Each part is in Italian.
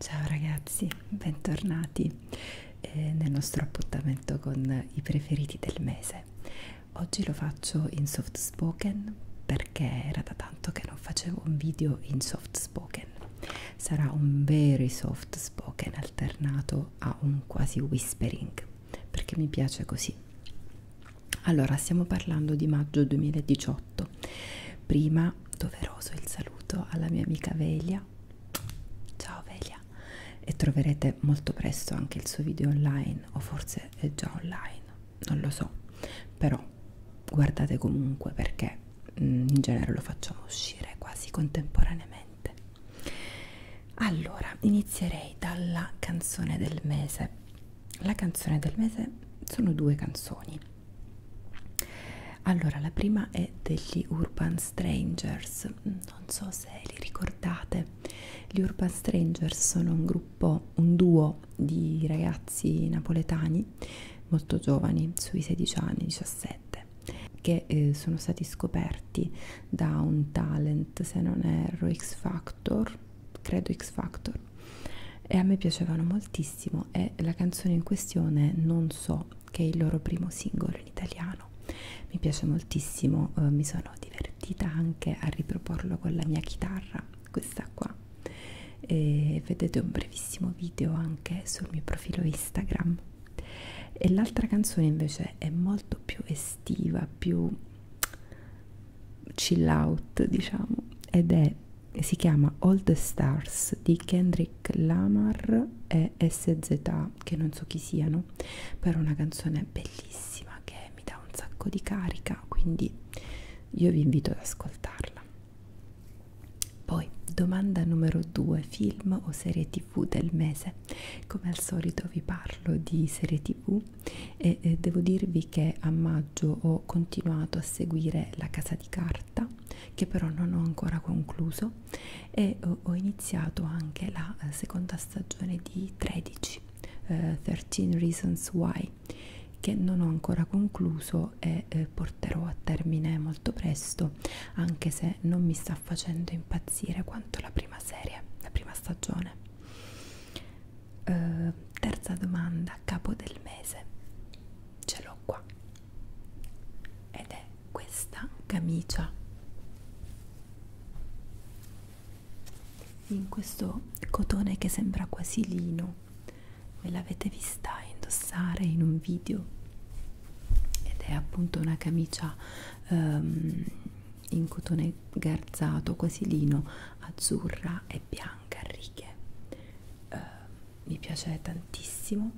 Ciao ragazzi, bentornati eh, nel nostro appuntamento con i preferiti del mese. Oggi lo faccio in soft spoken perché era da tanto che non facevo un video in soft spoken. Sarà un very soft spoken alternato arrivo a un quasi whispering perché mi piace così allora stiamo parlando di maggio 2018 prima doveroso il saluto alla mia amica Velia ciao Velia e troverete molto presto anche il suo video online o forse è già online non lo so però guardate comunque perché mm, in genere lo facciamo uscire quasi contemporaneamente allora inizierei dalla canzone del mese la canzone del mese sono due canzoni allora la prima è degli urban strangers non so se li ricordate gli urban strangers sono un gruppo un duo di ragazzi napoletani molto giovani sui 16 anni 17 che eh, sono stati scoperti da un talent, se non erro, X Factor, credo X Factor, e a me piacevano moltissimo e la canzone in questione non so che è il loro primo singolo in italiano, mi piace moltissimo, eh, mi sono divertita anche a riproporlo con la mia chitarra, questa qua, e vedete un brevissimo video anche sul mio profilo Instagram e l'altra canzone invece è molto più estiva, più chill out diciamo ed è si chiama All the Stars di Kendrick Lamar e SZA che non so chi siano però è una canzone bellissima che mi dà un sacco di carica quindi io vi invito ad ascoltarla poi domanda numero 2 film o serie tv tv del mese come al solito vi parlo di serie tv e eh, devo dirvi che a maggio ho continuato a seguire la casa di carta che però non ho ancora concluso e ho, ho iniziato anche la eh, seconda stagione di 13 eh, 13 reasons why che non ho ancora concluso e eh, porterò a termine molto presto anche se non mi sta facendo impazzire quanto la prima serie, la prima stagione. Uh, terza domanda, capo del mese, ce l'ho qua ed è questa camicia. In questo cotone che sembra quasi lino, me l'avete vista indossare in un video ed è appunto una camicia um, in cotone garzato quasi lino azzurra e bianca a righe uh, mi piace tantissimo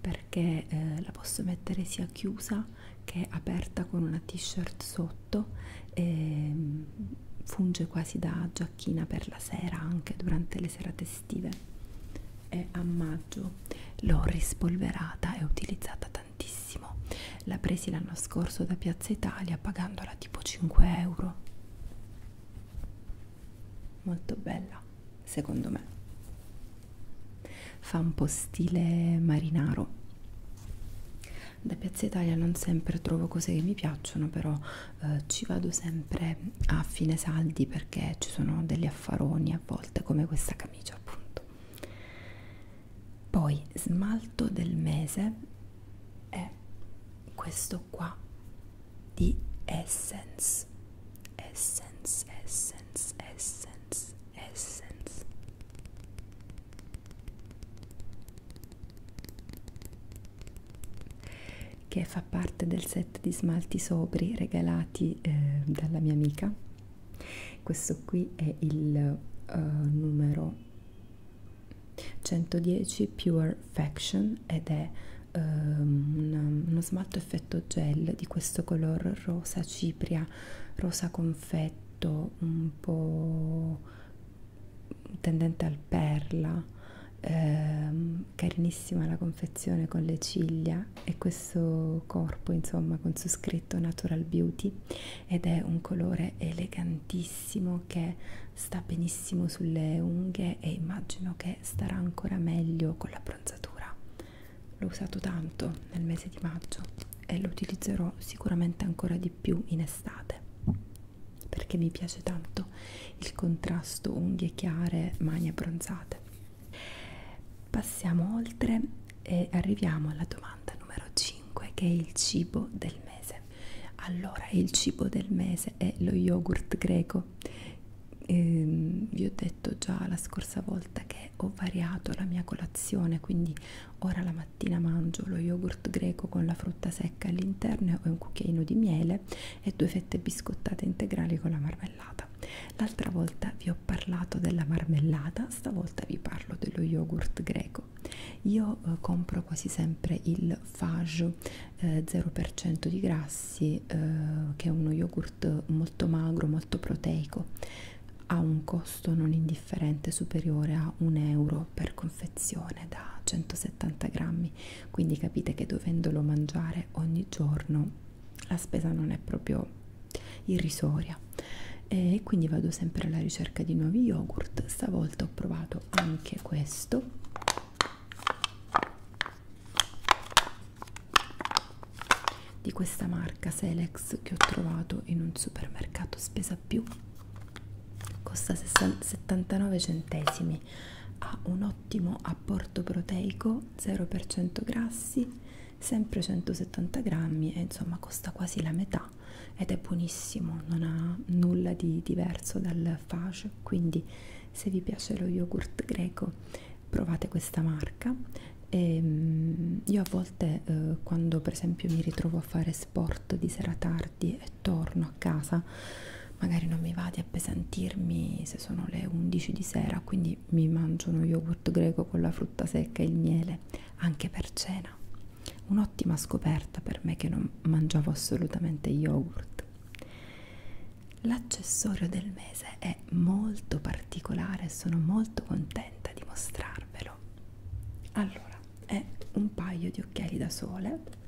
perché uh, la posso mettere sia chiusa che aperta con una t-shirt sotto e ehm, funge quasi da giacchina per la sera anche durante le serate estive è a formaggio l'ho rispolverata e utilizzata tantissimo la presi l'anno scorso da Piazza Italia pagandola tipo 5 euro molto bella secondo me fa un po' stile marinaro da Piazza Italia non sempre trovo cose che mi piacciono però eh, ci vado sempre a fine saldi perché ci sono delle affaroni a volte come questa camicia appunto poi smalto del mese è questo qua di essence essence essence essence essence che fa fa parte del set di smalti sobri regalati eh, dalla mia amica questo qui è il uh, numero 110 Pure Faction ed è uh, ehm, un, uno smalto effetto gel di questo color rosa cipria, rosa confetto, un po' tendente al perla, ehm, carinissima la confezione con le ciglia e questo corpo insomma con su scritto natural beauty ed è un colore elegantissimo che sta benissimo sulle unghie e immagino che starà ancora meglio con la bronzatura l'ho usato tanto nel mese di maggio e lo utilizzerò sicuramente ancora di più in estate perché mi piace tanto il contrasto unghie chiare mani abbronzate Passiamo oltre e arriviamo alla domanda numero 5 che è il cibo del mese. Allora, il cibo del mese è lo yogurt greco. Ehm, vi ho detto già la scorsa volta che ho variato la mia colazione, quindi ora la mattina mangio lo yogurt greco con la frutta secca all'interno e un cucchiaino di miele e due fette biscottate integrali con la marmellata marmellata l'altra volta vi ho parlato della marmellata stavolta vi parlo dello yogurt greco io eh, compro quasi sempre il fage eh, 0% di grassi eh, che è uno yogurt molto magro molto proteico ha un costo non indifferente superiore a un euro per confezione da 170 grammi quindi capite che dovendolo mangiare ogni giorno la spesa non è proprio irrisoria e quindi vado sempre alla ricerca di nuovi yogurt stavolta ho provato anche questo di questa marca Selex che ho trovato in un supermercato spesa più costa 79 centesimi ha un ottimo apporto proteico vino 0% grassi sempre 170 grammi e insomma costa quasi la metà ed è buonissimo non ha nulla di diverso dal fage quindi se vi piace lo yogurt greco provate questa marca e ehm, io a volte eh, quando per esempio mi ritrovo a fare sport di sera tardi e torno a casa magari non mi va di appesantirmi se sono le 11 di sera quindi mi mangio uno yogurt greco con la frutta secca e il miele anche per cena un'ottima scoperta per me che non mangiavo assolutamente yogurt l'accessorio del mese è molto particolare e sono molto contenta di mostrarvelo allora è un paio di occhiali da sole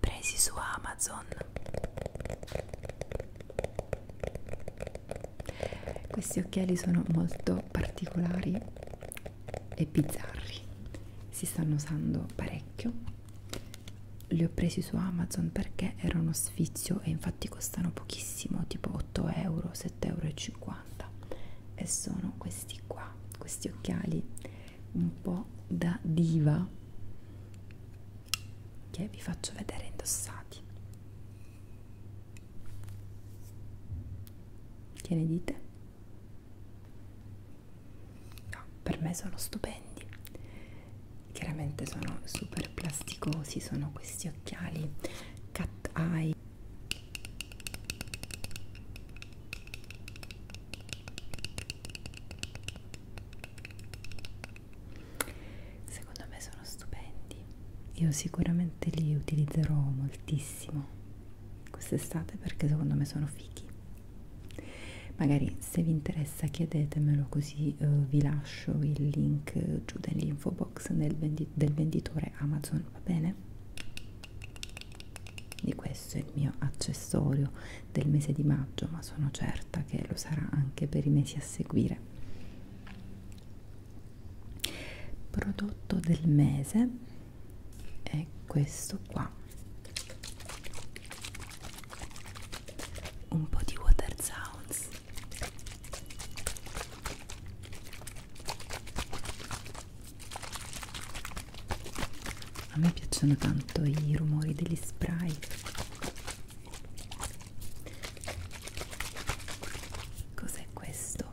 presi su Amazon questi occhiali sono molto particolari e bizzarri si stanno usando parecchio li ho presi su Amazon perché era uno sfizio e infatti costano pochissimo tipo 8 euro 7,50 euro e sono questi qua, questi occhiali un po' da diva che vi faccio vedere indossati. Che ne dite? No, per me sono stupendi. Chiaramente sono super plasticosi, sono questi occhiali cat eye Secondo me sono stupendi. Io sicuramente li utilizzerò moltissimo quest'estate perché secondo me sono fighi. Magari se vi interessa chiedetemelo così eh, vi lascio il link giù nell'info box nel vendi del venditore Amazon va bene? Di questo è il mio accessorio del mese di maggio, ma sono certa che lo sarà anche per i mesi a seguire. Prodotto del mese è questo qua. Un po' di water sounds a me piacciono tanto i rumori degli spray. Cos'è questo?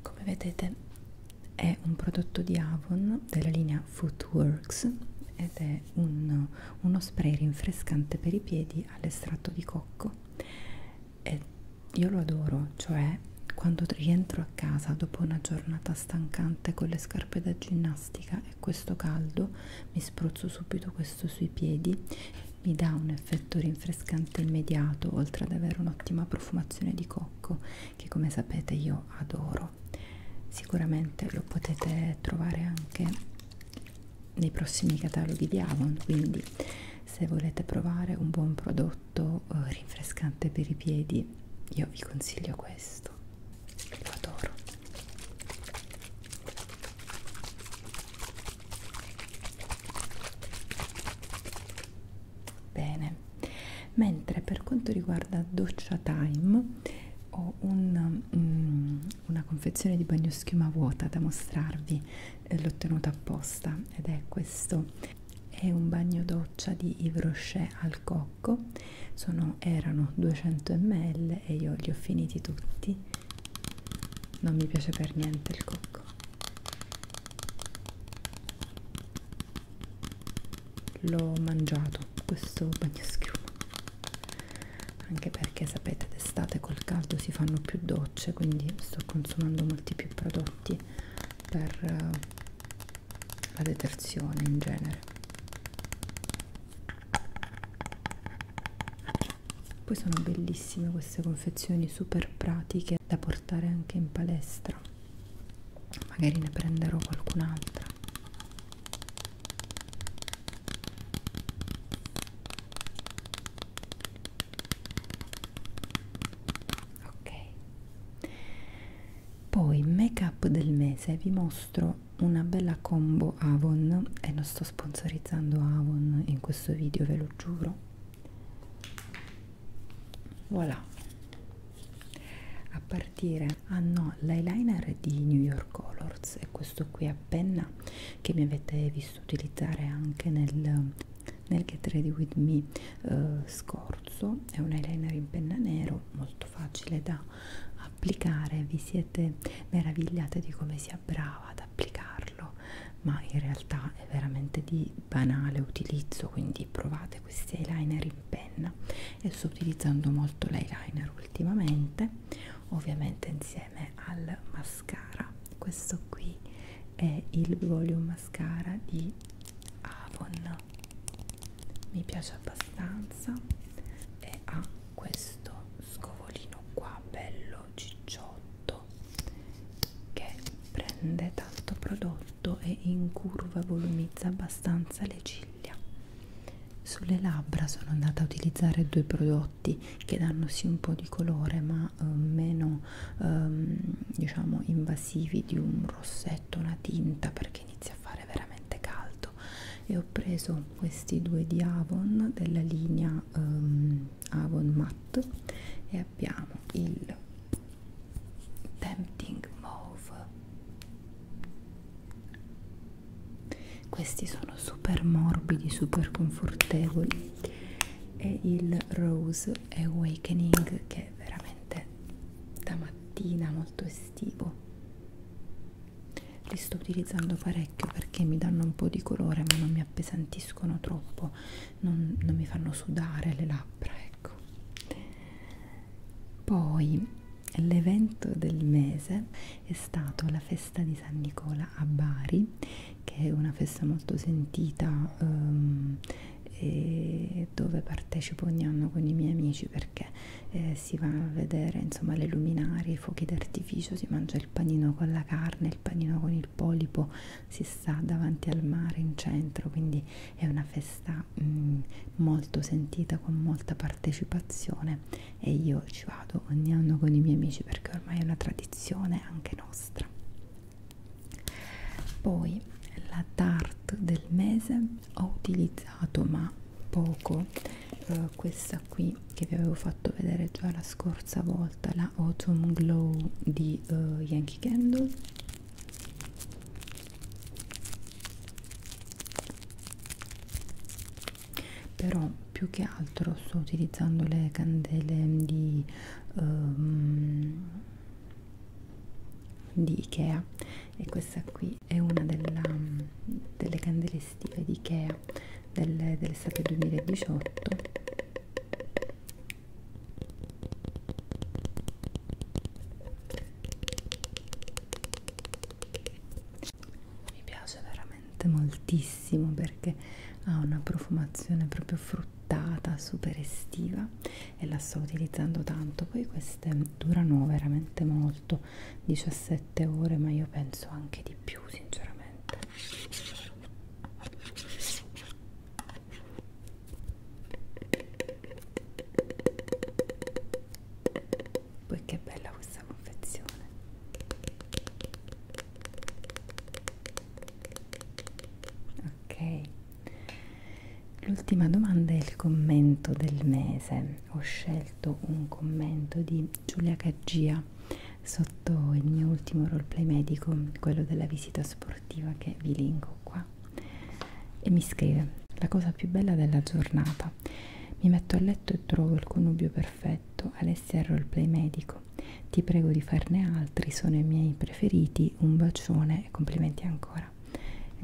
Come vedete è un prodotto di Avon della linea Footworks ed è un, uno spray rinfrescante per i piedi all'estratto di cocco e io lo adoro, cioè quando rientro a casa dopo una giornata stancante con le scarpe da ginnastica e questo caldo mi spruzzo subito questo sui piedi mi dà un effetto rinfrescante immediato oltre ad avere un'ottima profumazione di cocco che come sapete io adoro sicuramente lo potete trovare anche nei prossimi cataloghi di Avon quindi se volete provare un buon prodotto eh, rinfrescante per i piedi io vi consiglio questo lo adoro bene mentre per quanto riguarda doccia time ho un, um, una confezione di bagnoschiuma vuota da mostrarvi eh, l'ho tenuta apposta ed è questo è un bagno doccia di Yves Rocher al cocco Sono, erano 200 ml e io li ho finiti tutti non mi piace per niente il cocco l'ho mangiato questo bagnoschiuma anche perché sapete d'estate col caldo si fanno più docce quindi sto consumando molti più prodotti per uh, la detersione in genere poi sono bellissime queste confezioni super pratiche da portare anche in palestra magari ne prenderò qualcun'altra ok poi make up del mese vi mostro una bella combo Avon e non sto sponsorizzando Avon in questo video ve lo giuro voilà a partire ah no l'eyeliner di New York Colors è questo qui a penna che mi avete visto utilizzare anche nel, nel Get Ready With Me eh, scorso è un eyeliner in penna nero molto facile da applicare vi siete meravigliate di come sia brava ad applicarlo ma in realtà è veramente di banale utilizzo quindi provate fate questi eyeliner in penna e sto utilizzando molto l'eyeliner ultimamente ovviamente insieme al mascara questo qui è il volume mascara di Avon mi piace abbastanza e ha questo scovolino qua bello cicciotto che prende tanto prodotto sotto e in curva volumizza abbastanza le ciglia. Sulle labbra sono andata a utilizzare due prodotti che danno sì un po' di colore ma eh, meno ehm, diciamo invasivi di un rossetto, una tinta perché inizia a fare veramente caldo e ho preso questi due di Avon della linea ehm, Avon Matte e abbiamo il tempting mauve questi sono super morbidi super confortevoli e il rose awakening che è veramente da mattina molto estivo li sto utilizzando parecchio perché mi danno un po' di colore ma non mi appesantiscono troppo non, non mi fanno sudare le labbra ecco poi l'evento del mese è stato la festa di San Nicola a Bari, che è una festa molto sentita um, e dove partecipo ogni anno con i miei amici perché eh, si va a vedere insomma le luminarie, i fuochi d'artificio, si mangia il panino con la carne, il panino con il polipo, si sta davanti al mare in centro, quindi è una festa maniera mm, mh, molto sentita, con molta partecipazione e io ci vado ogni anno con i miei amici perché ormai è una tradizione anche nostra. Poi la tart del mese ho utilizzato ma poco eh, questa qui che vi avevo fatto vedere già la scorsa volta, la Autumn Glow di eh, Yankee Candle però più che altro sto utilizzando le candele di, um, di Ikea e questa qui è una della, delle candele estive di Ikea dell'estate dell 2018 mi piace veramente moltissimo perché ha una profumazione proprio fruttata super estiva e la sto utilizzando tanto poi queste durano veramente molto 17 ore ma io penso anche di più sinceramente poi che bella questa confezione ok l'ultima domanda è il commento del mese ho scelto un commento di Giulia Caggia sotto il mio ultimo roleplay medico quello della visita sportiva che vi linko qua e mi scrive la cosa più bella della giornata mi metto a letto e trovo il connubio perfetto Alessia è roleplay medico ti prego di farne altri sono i miei preferiti un bacione e complimenti ancora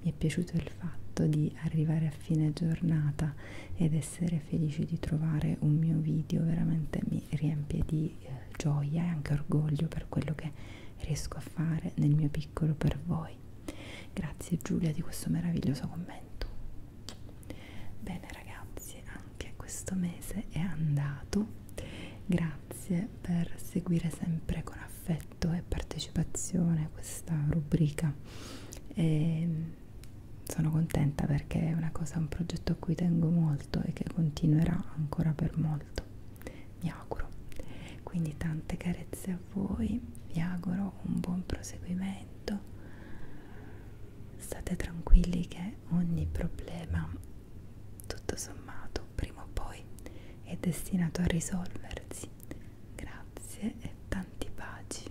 mi è piaciuto il fatto di arrivare a fine giornata ed essere felice di trovare un mio video veramente mi riempie di eh, gioia e anche orgoglio per quello che riesco a fare nel mio piccolo per voi. Grazie Giulia di questo meraviglioso commento. Bene ragazzi, anche questo mese è andato. Grazie per seguire sempre con affetto e partecipazione questa rubrica. E ehm, sono contenta perché è una cosa, un progetto a cui tengo molto e che continuerà ancora per molto mi auguro quindi tante carezze a voi vi auguro un buon proseguimento state tranquilli che ogni problema tutto sommato prima o poi è destinato a risolversi grazie e tanti baci